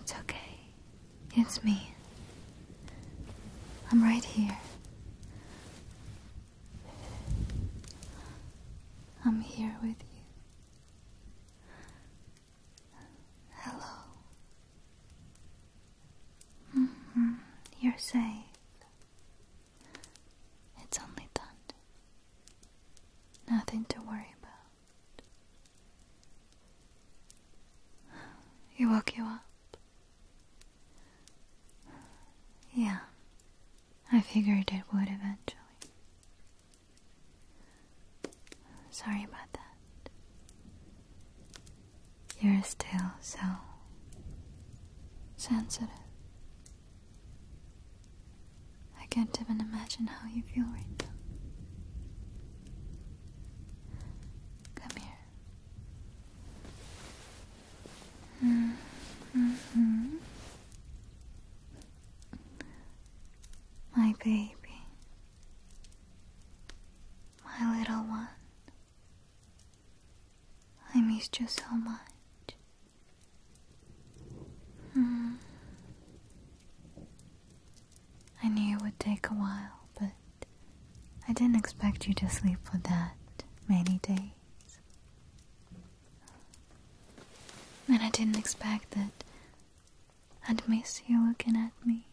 It's okay. It's me. I'm right here. I'm here with you. Hello. Mm -hmm. You're safe. It's only thunder. Nothing to worry about. You woke you up. Yeah, I figured it would eventually. Sorry about that. You're still so sensitive. I can't even imagine how you feel right now. Come here. Mm-hmm. My baby. My little one. I missed you so much. Mm-hmm. I knew it would take a while, but I didn't expect you to sleep for that many days. And I didn't expect that I'd miss you looking at me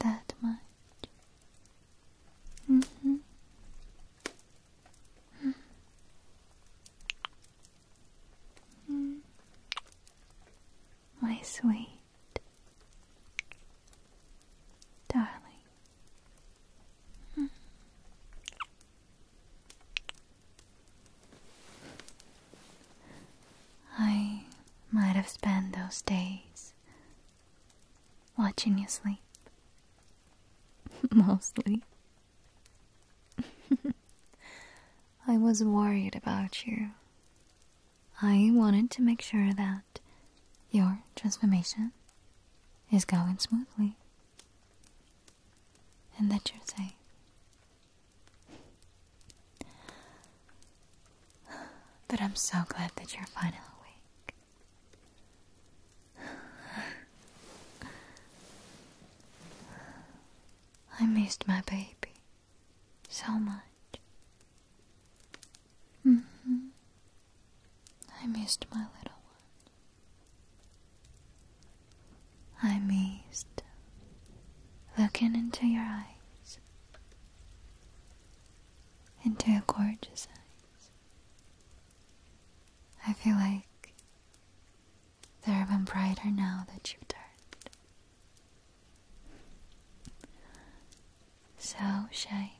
that much. Mm-hmm. Mm-hmm. My sweet darling. Mm-hmm. I might have spent those days watching you sleep. Mostly. I was worried about you. I wanted to make sure that your transformation is going smoothly and that you're safe. But I'm so glad that you're finally awake. I missed my baby so much. Mm-hmm. I missed my little one. I missed looking into your eyes, into your gorgeous eyes. I feel like they're even brighter now that you've turned. So shiny.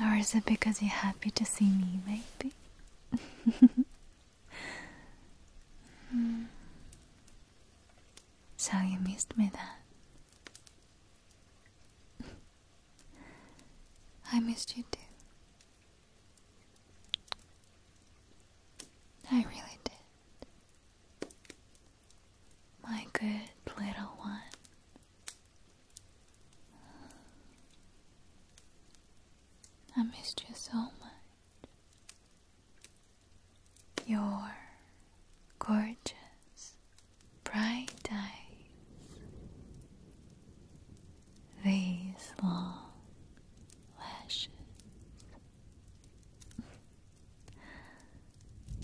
Or is it because you're happy to see me, maybe? Hmm. So you missed me then? I missed you too. I really did. My good little one. I missed you so much. Your gorgeous, bright eyes, these long lashes.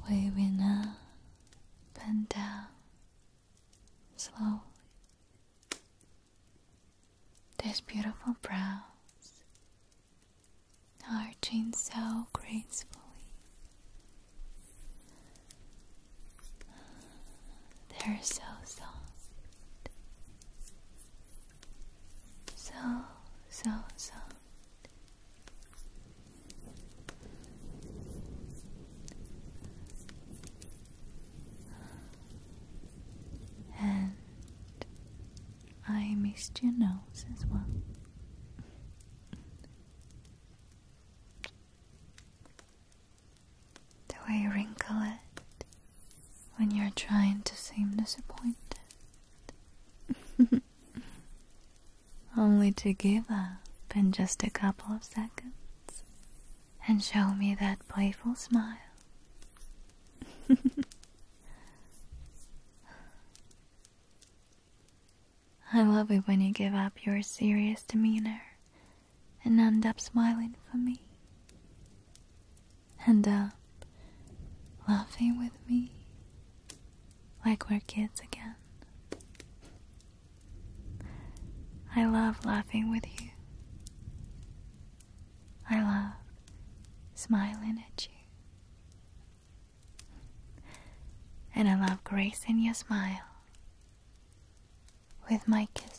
Waving up and down slowly. These beautiful brows arching so gracefully. They're so soft. So, so soft. And I missed your nose as well the way you wrinkle it when you're trying to seem disappointed. Only to give up in just a couple of seconds and show me that playful smile. I love it when you give up your serious demeanor and end up smiling for me. End up laughing with me like we're kids again. I love laughing with you. I love smiling at you. And I love grace in your smile with my kisses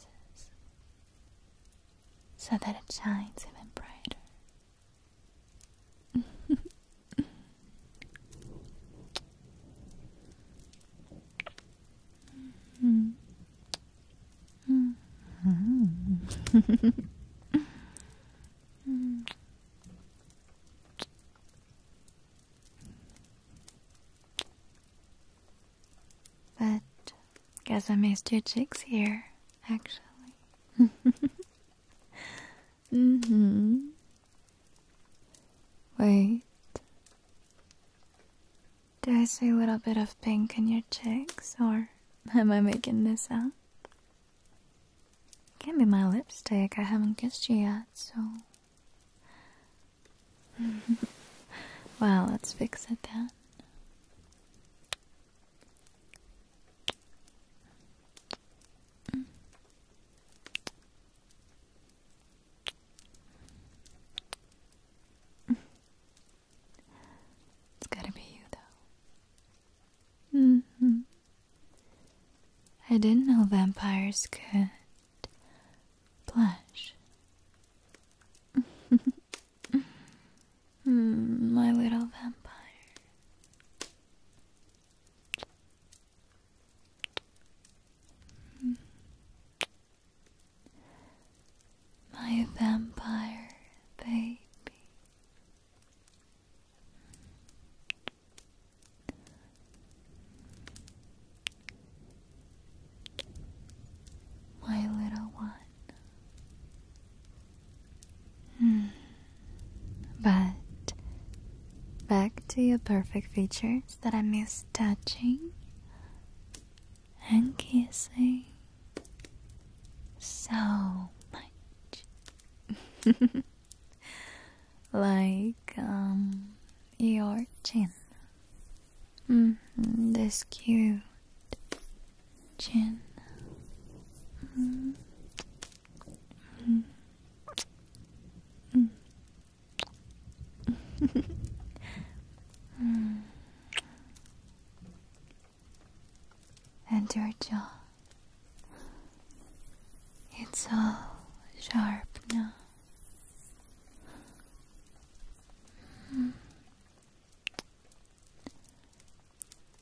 so that it shines even brighter. But guess I missed your cheeks here, actually. hmm Wait. Do I see a little bit of pink in your cheeks, or am I making this up? It can be my lipstick. I haven't kissed you yet, so well, let's fix it then. It's gotta be you, though. Mm-hmm. I didn't know vampires could blush. Hmm, my little vampire. My vampire baby my little one. Hmm. But back to your perfect features that I miss touching and kissing so much. like, um, your chin. Mm cute. Chin. And your jaw. It's all sharp now.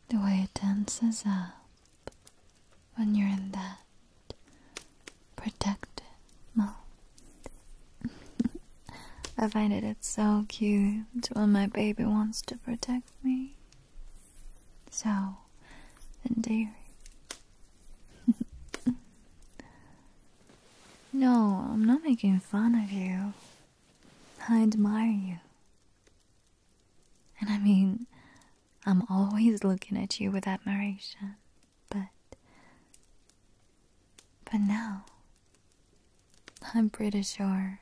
The way it dances up when you're in that protective mode. I find it so cute when my baby wants to protect me. So endearing. No, I'm not making fun of you. I admire you. And I mean, I'm always looking at you with admiration. But. But now. I'm pretty sure.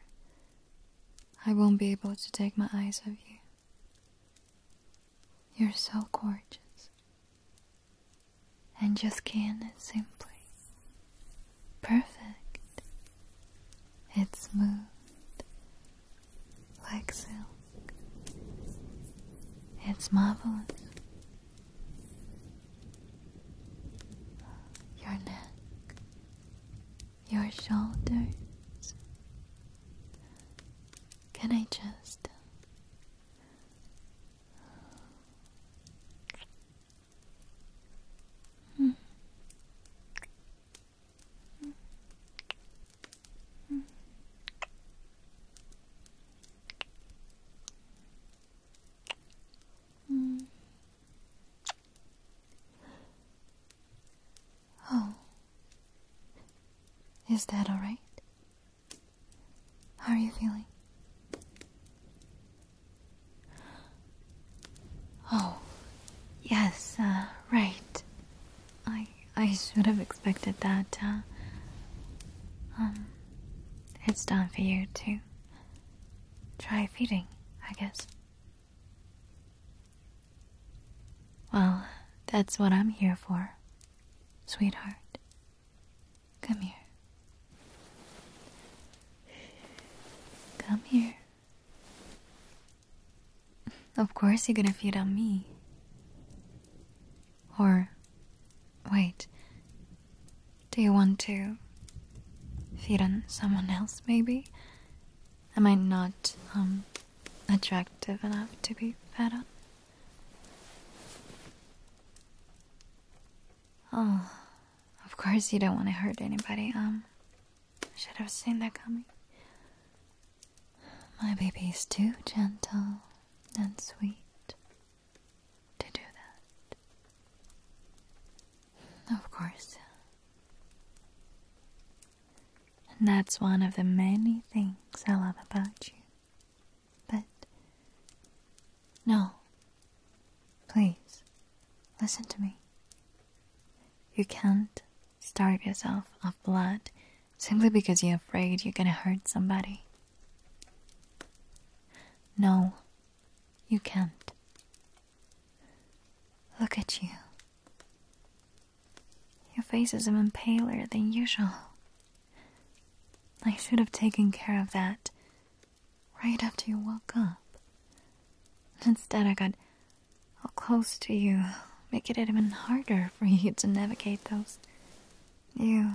I won't be able to take my eyes off you. You're so gorgeous and your skin is simply perfect. It's smooth like silk. It's marvelous. Your neck, your shoulders. Can I just Mm. Mm. Mm. Mm. Oh, is that all right? How are you feeling? Oh, yes, uh, right. I I should have expected that. Uh, um, it's time for you to try feeding, I guess. Well, that's what I'm here for, sweetheart. Come here. Come here. Of course you're gonna feed on me. Or, wait, do you want to feed on someone else maybe? Am I not, um, attractive enough to be fed on? Oh, of course you don't want to hurt anybody. Um, should have seen that coming. My baby's too gentle and sweet to do that. Of course. And that's one of the many things I love about you. But no. Please, listen to me. You can't starve yourself of blood simply because you're afraid you're gonna hurt somebody. No, you can't. Look at you. Your face is even paler than usual. I should have taken care of that right after you woke up. Instead, I got all close to you, make it even harder for you to navigate those new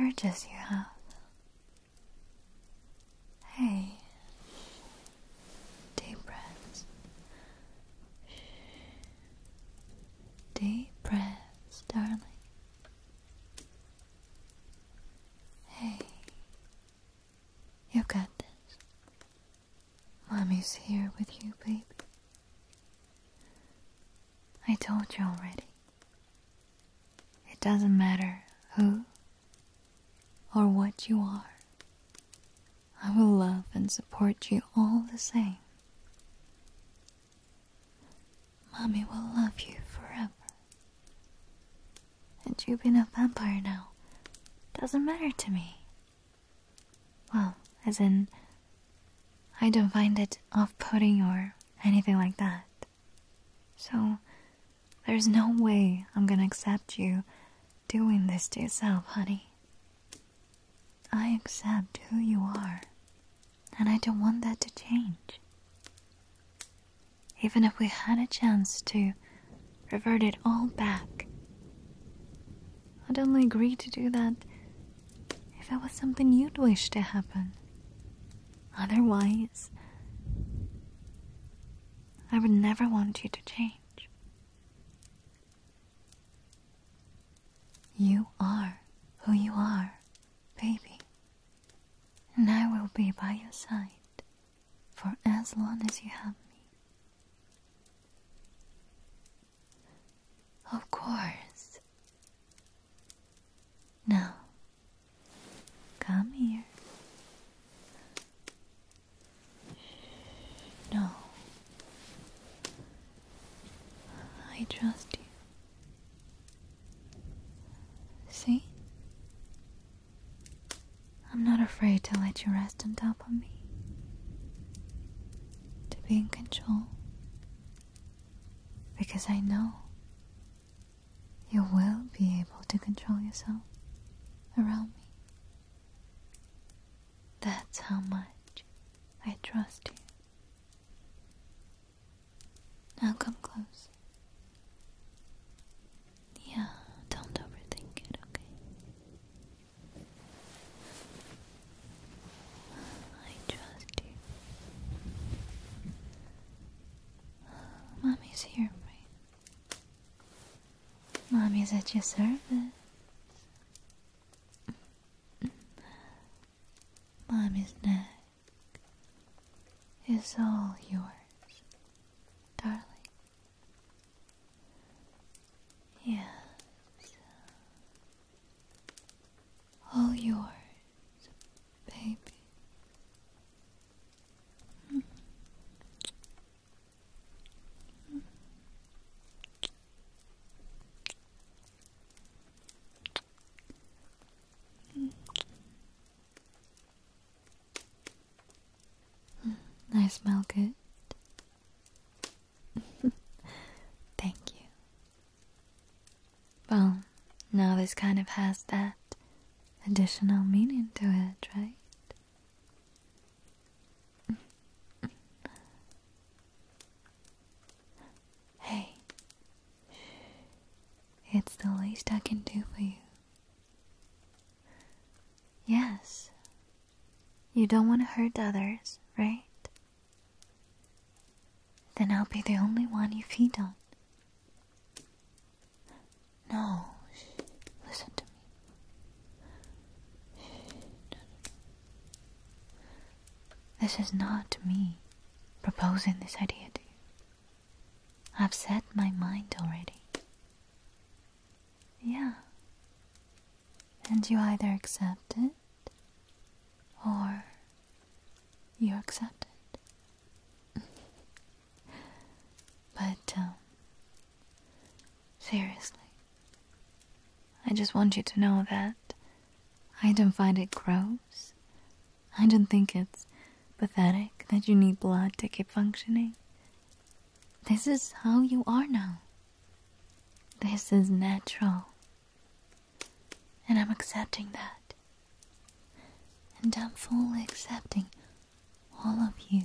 urges you have. Hey. Deep breaths. Deep breaths, darling. Hey, you have got this. Mommy's here with you, baby. I told you already. It doesn't matter who or what you are. I will love and support you all the same. Mommy will love you forever. And you being a vampire now doesn't matter to me. Well, as in, I don't find it off putting or anything like that. So, there's no way I'm gonna accept you doing this to yourself, honey. I accept who you are and I don't want that to change. Even if we had a chance to revert it all back, I'd only agree to do that if it was something you'd wish to happen. Otherwise, I would never want you to change. You are who you are, baby and I will be by your side for as long as you have me. Of course. No. come here. No. I trust you. See? I'm not afraid to let you rest on top of me. To be in control. Because I know you will be able to control yourself around me. That's how much I trust you. Now come close. Yeah, don't overthink it, okay? I trust you. Mommy's here for Mommy's at your service. Mommy's next is all yours, darling. Yes, all yours, baby. Mm. I smell good. Thank you. Well, now this kind of has that additional meaning to it, right? Hey, it's the least I can do for you. Yes, you don't want to hurt others, right? Then I'll be the only one if you don't. No, listen to me. no, no. This is not me proposing this idea to you. I've set my mind already. Yeah. And you either accept it or you accept it. but, um, seriously, I just want you to know that I don't find it gross. I don't think it's pathetic that you need blood to keep functioning. This is how you are now. This is natural. And I'm accepting that. And I'm fully accepting all of you.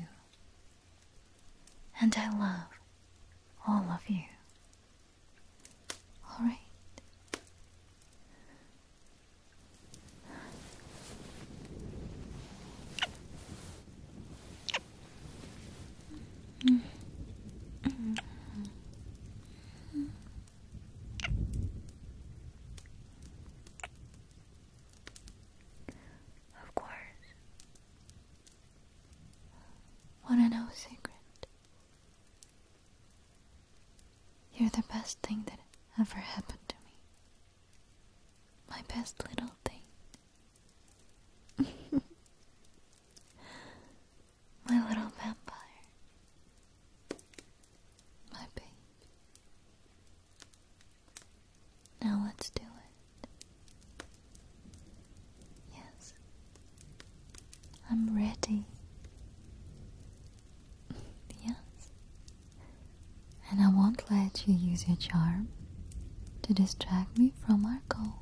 And I love all of you. Alright. Of course. Want to know a secret? You're the best thing that ever happened to me. My best little thing. My little vampire. My babe. Now let's do it. Yes. I'm ready. Yes. And I won't let you use your charm to distract me from our goal.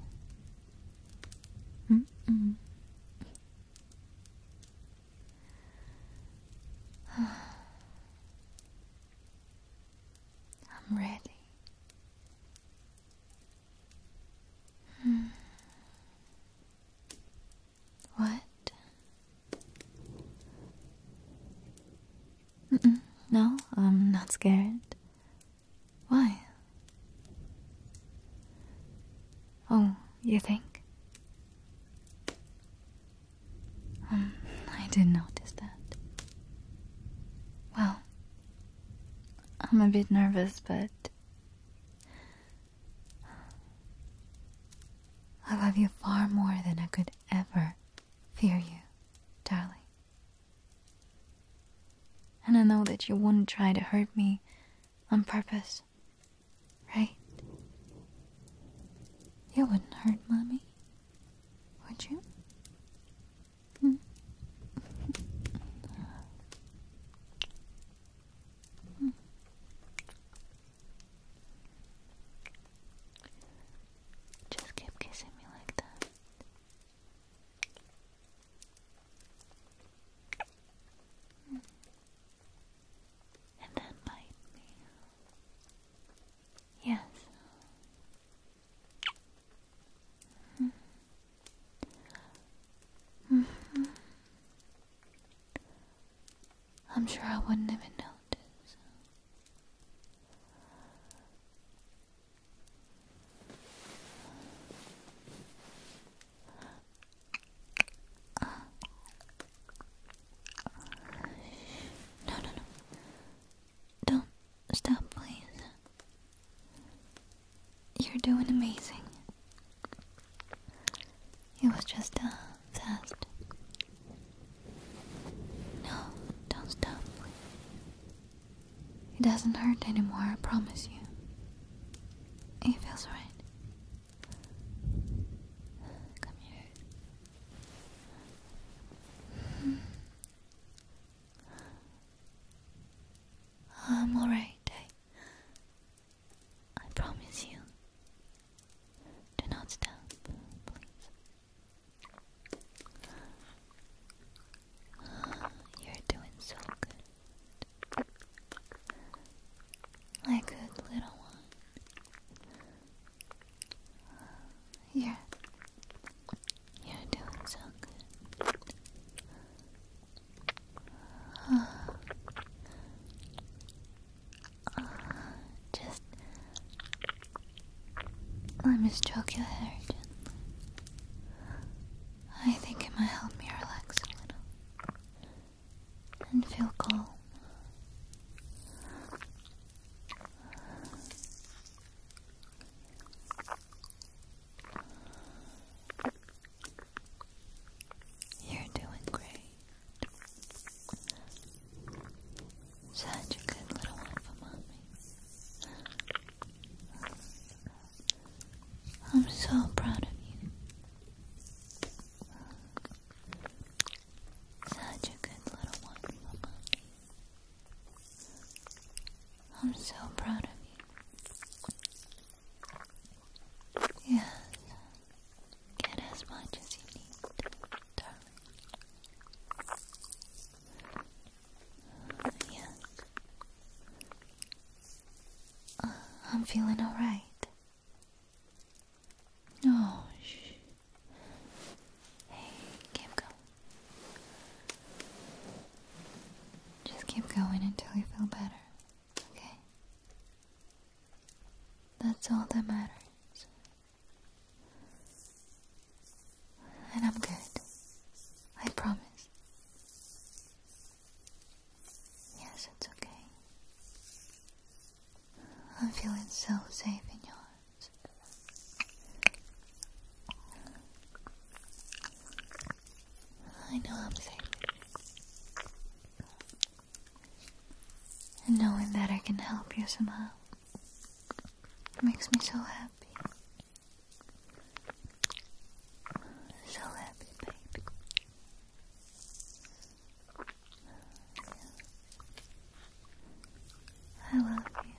I'm ready. Hmm. What? no, I'm not scared. Why? Oh, you think? Hmm, I didn't notice that. Well, I'm a bit nervous, but I love you far more than I could ever fear you, darling. And I know that you wouldn't try to hurt me on purpose, right? You wouldn't hurt Mommy, would you? Hmm? hmm. Just keep kissing me like that. Mm. And then bite me. Yes. Mm-hmm. Mm-hmm. I'm sure I wouldn't even notice. no, no, no. Don't stop, please. You're doing amazing. It was just a test. No, don't stop. It doesn't hurt anymore, I promise you. It feels right. Come here. Hmm. I'm alright. I promise you. Do not stop, you're doing so good. My good little one. Yeah. You're doing so good. Uh, just let me stroke your hair gently. I think it might help me relax a little and feel calm. You're doing great. Such a good little one for mommy. I'm so proud of you. Such a good little one for mommy. I'm so proud of you. Yes, Get as much as you need, darling. yeah. Uh, I'm feeling alright. oh, shh. Hey, keep going. Just keep going until you feel better. Okay? That's all that matters. And I'm good. I promise. Yes, it's okay. I'm feeling so safe in your arms. I know I'm safe. And knowing that I can help you somehow makes me so happy. So happy, baby. I love you.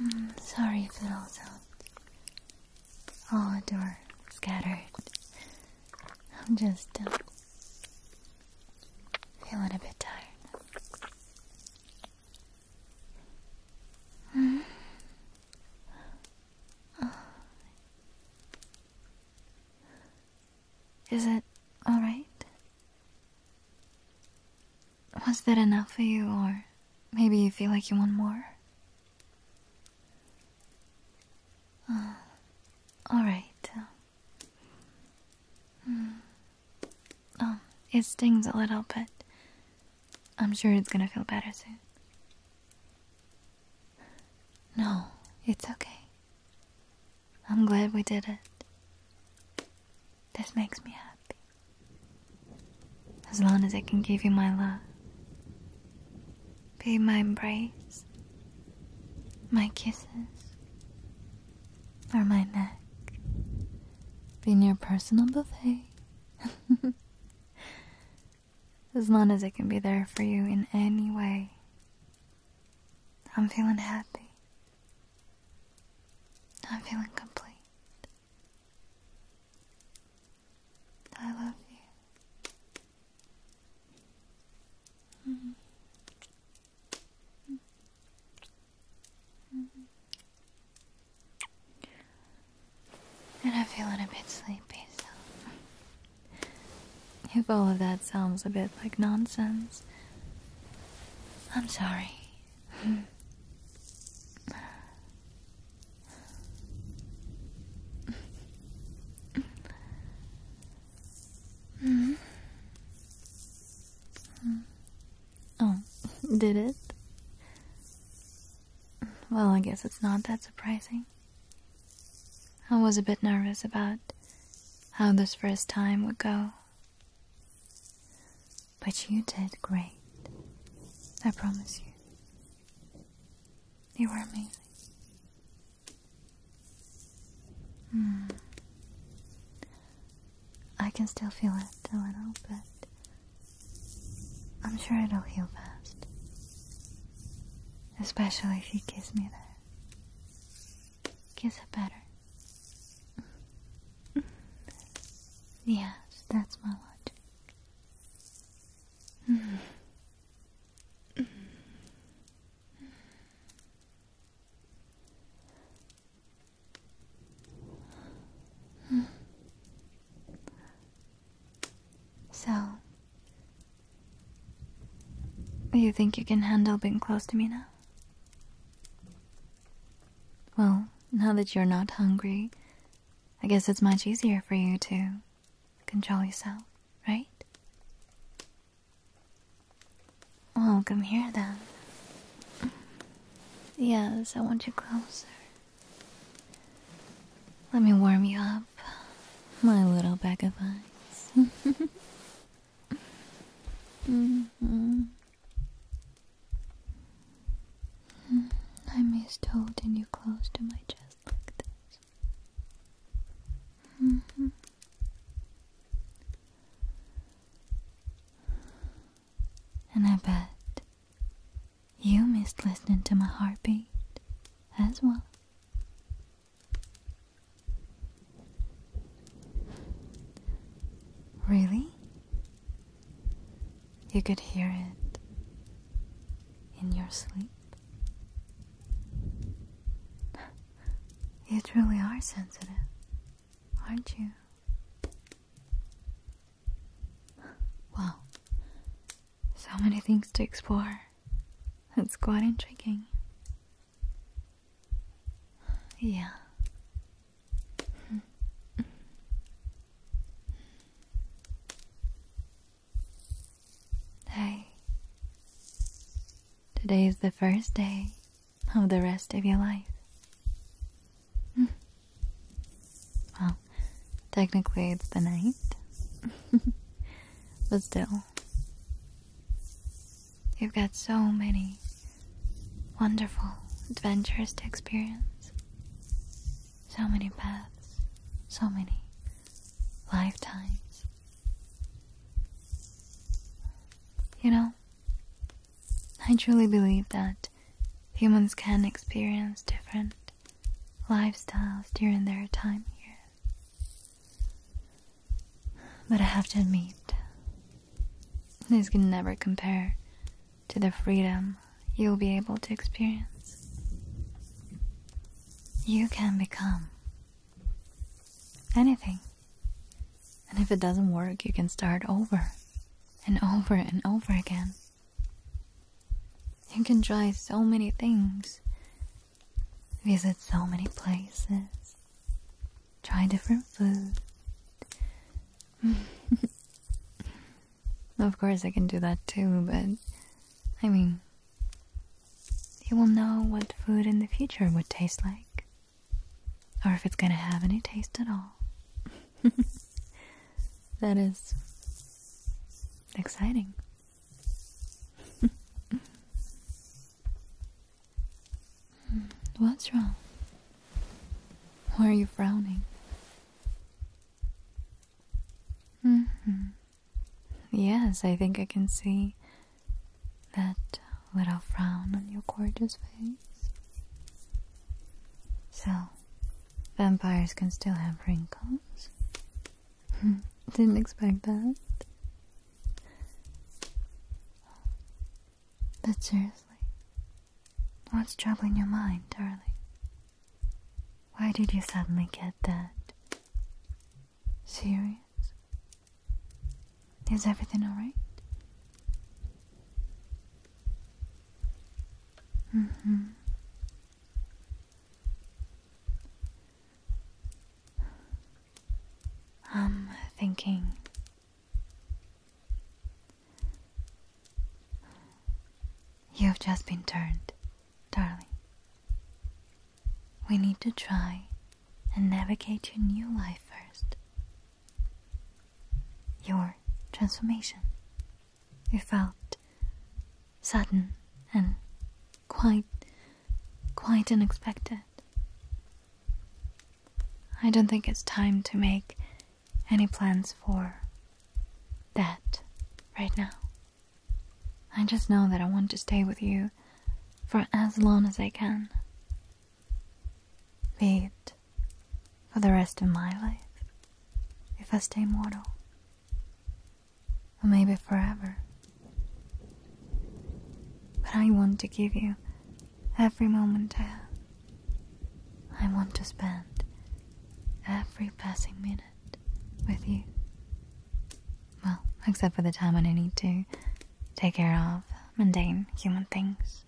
Mm, sorry if it all sounds odd or scattered. I'm just uh, feeling a bit tired. Mm-hmm. Uh, is it alright? Was that enough for you, or maybe you feel like you want more? Uh, Alright. Uh, hmm, um, it stings a little, but I'm sure it's gonna feel better soon. No, it's okay. I'm glad we did it. This makes me happy. As long as I can give you my love, be my embrace, my kisses, or my neck, being your personal buffet. as long as I can be there for you in any way, I'm feeling happy. I'm feeling complete. I love you. And I'm feeling a bit sleepy, if all of that sounds a bit like nonsense, I'm sorry. Oh, did it? Well, I guess it's not that surprising. I was a bit nervous about how this first time would go. But you did great. I promise you. You were amazing. Hmm. I can still feel it a little, but I'm sure it'll heal fast. Especially if you kiss me there. Kiss it better. yes, that's my logic. So, you think you can handle being close to me now? Well, now that you're not hungry, I guess it's much easier for you to control yourself, right? Well, come here then. Yes, I want you closer. Let me warm you up, my little bag of ice. Mm-hmm. Hmm, I missed holding you close to my chest like this. Mm-hmm. And I bet you missed listening to my heartbeat as well. Really? You could hear it in your sleep. You truly are sensitive, aren't you? Well, so many things to explore. It's quite intriguing. Yeah. Hey, today is the first day of the rest of your life. Hmm. Well, technically it's the night, but still, you've got so many wonderful adventures to experience. So many paths, so many lifetimes. You know, I truly believe that humans can experience different lifestyles during their time here. But I have to admit, these can never compare to the freedom you'll be able to experience. You can become anything. And if it doesn't work, you can start over and over and over again. You can try so many things, visit so many places, try different foods. Of course, I can do that too, but I mean, you will know what food in the future would taste like, or if it's gonna have any taste at all. that is exciting. What's wrong? Why are you frowning? -hmm. Yes, I think I can see that little frown on your gorgeous face. So, vampires can still have wrinkles. Hmm, didn't expect that. But seriously, what's troubling your mind, darling? Why did you suddenly get that? Serious? Is everything alright? Mm hmm. I'm thinking. You've just been turned, darling. We need to try and navigate your new life first. Your transformation. You felt sudden and quite, quite unexpected. I don't think it's time to make any plans for that right now. I just know that I want to stay with you for as long as I can. Be for the rest of my life, if I stay mortal, or maybe forever. But I want to give you every moment I have. I want to spend every passing minute with you. Well, except for the time when I need to take care of mundane human things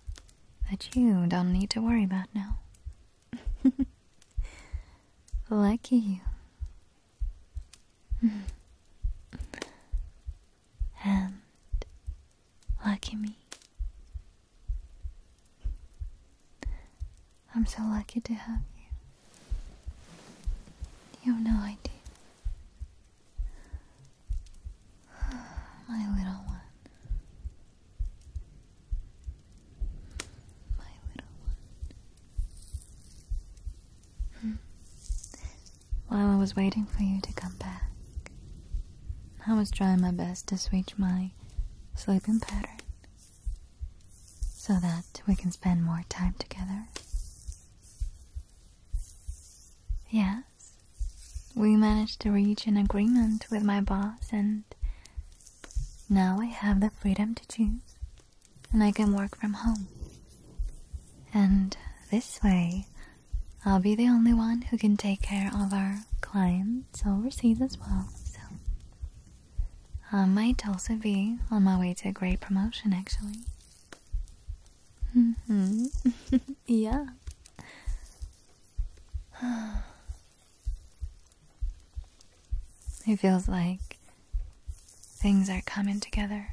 that you don't need to worry about now. Lucky you. and lucky me. I'm so lucky to have you. You have no idea. My little one. My little one. Hmm. While I was waiting for you to come back, I was trying my best to switch my sleeping pattern so that we can spend more time together. Yes, we managed to reach an agreement with my boss, and now I have the freedom to choose, and I can work from home. And this way, I'll be the only one who can take care of our clients overseas as well. So I might also be on my way to a great promotion, actually. Mm-hmm. yeah. It feels like things are coming together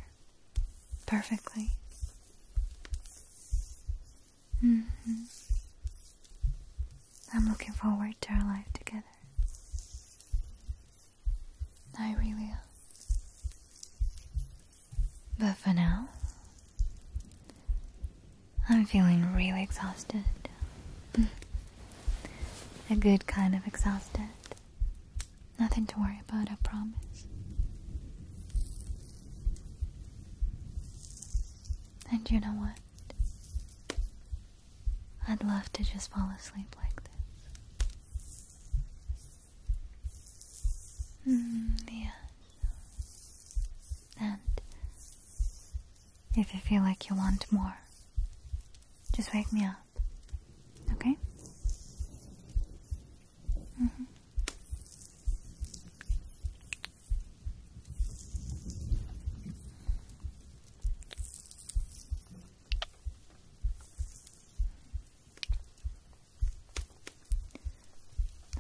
perfectly. Mm-hmm. I'm looking forward to our life together. I really am. But for now, I'm feeling really exhausted. A good kind of exhausted. Nothing to worry about, I promise. And you know what? I'd love to just fall asleep like this. Mm, And if you feel like you want more, just wake me up. Okay? Mm -hmm.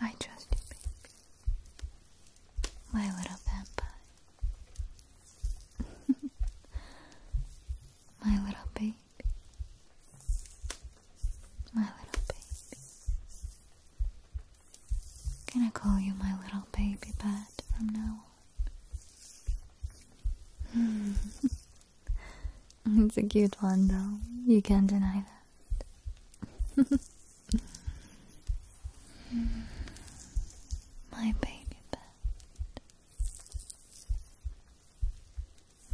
I trust you, My little vampire. My little baby. My little baby. Can I call you my little baby bat from now Hmm. it's a cute one, though. You can't deny that. My baby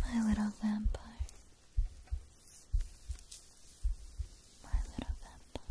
My little vampire. My little vampire.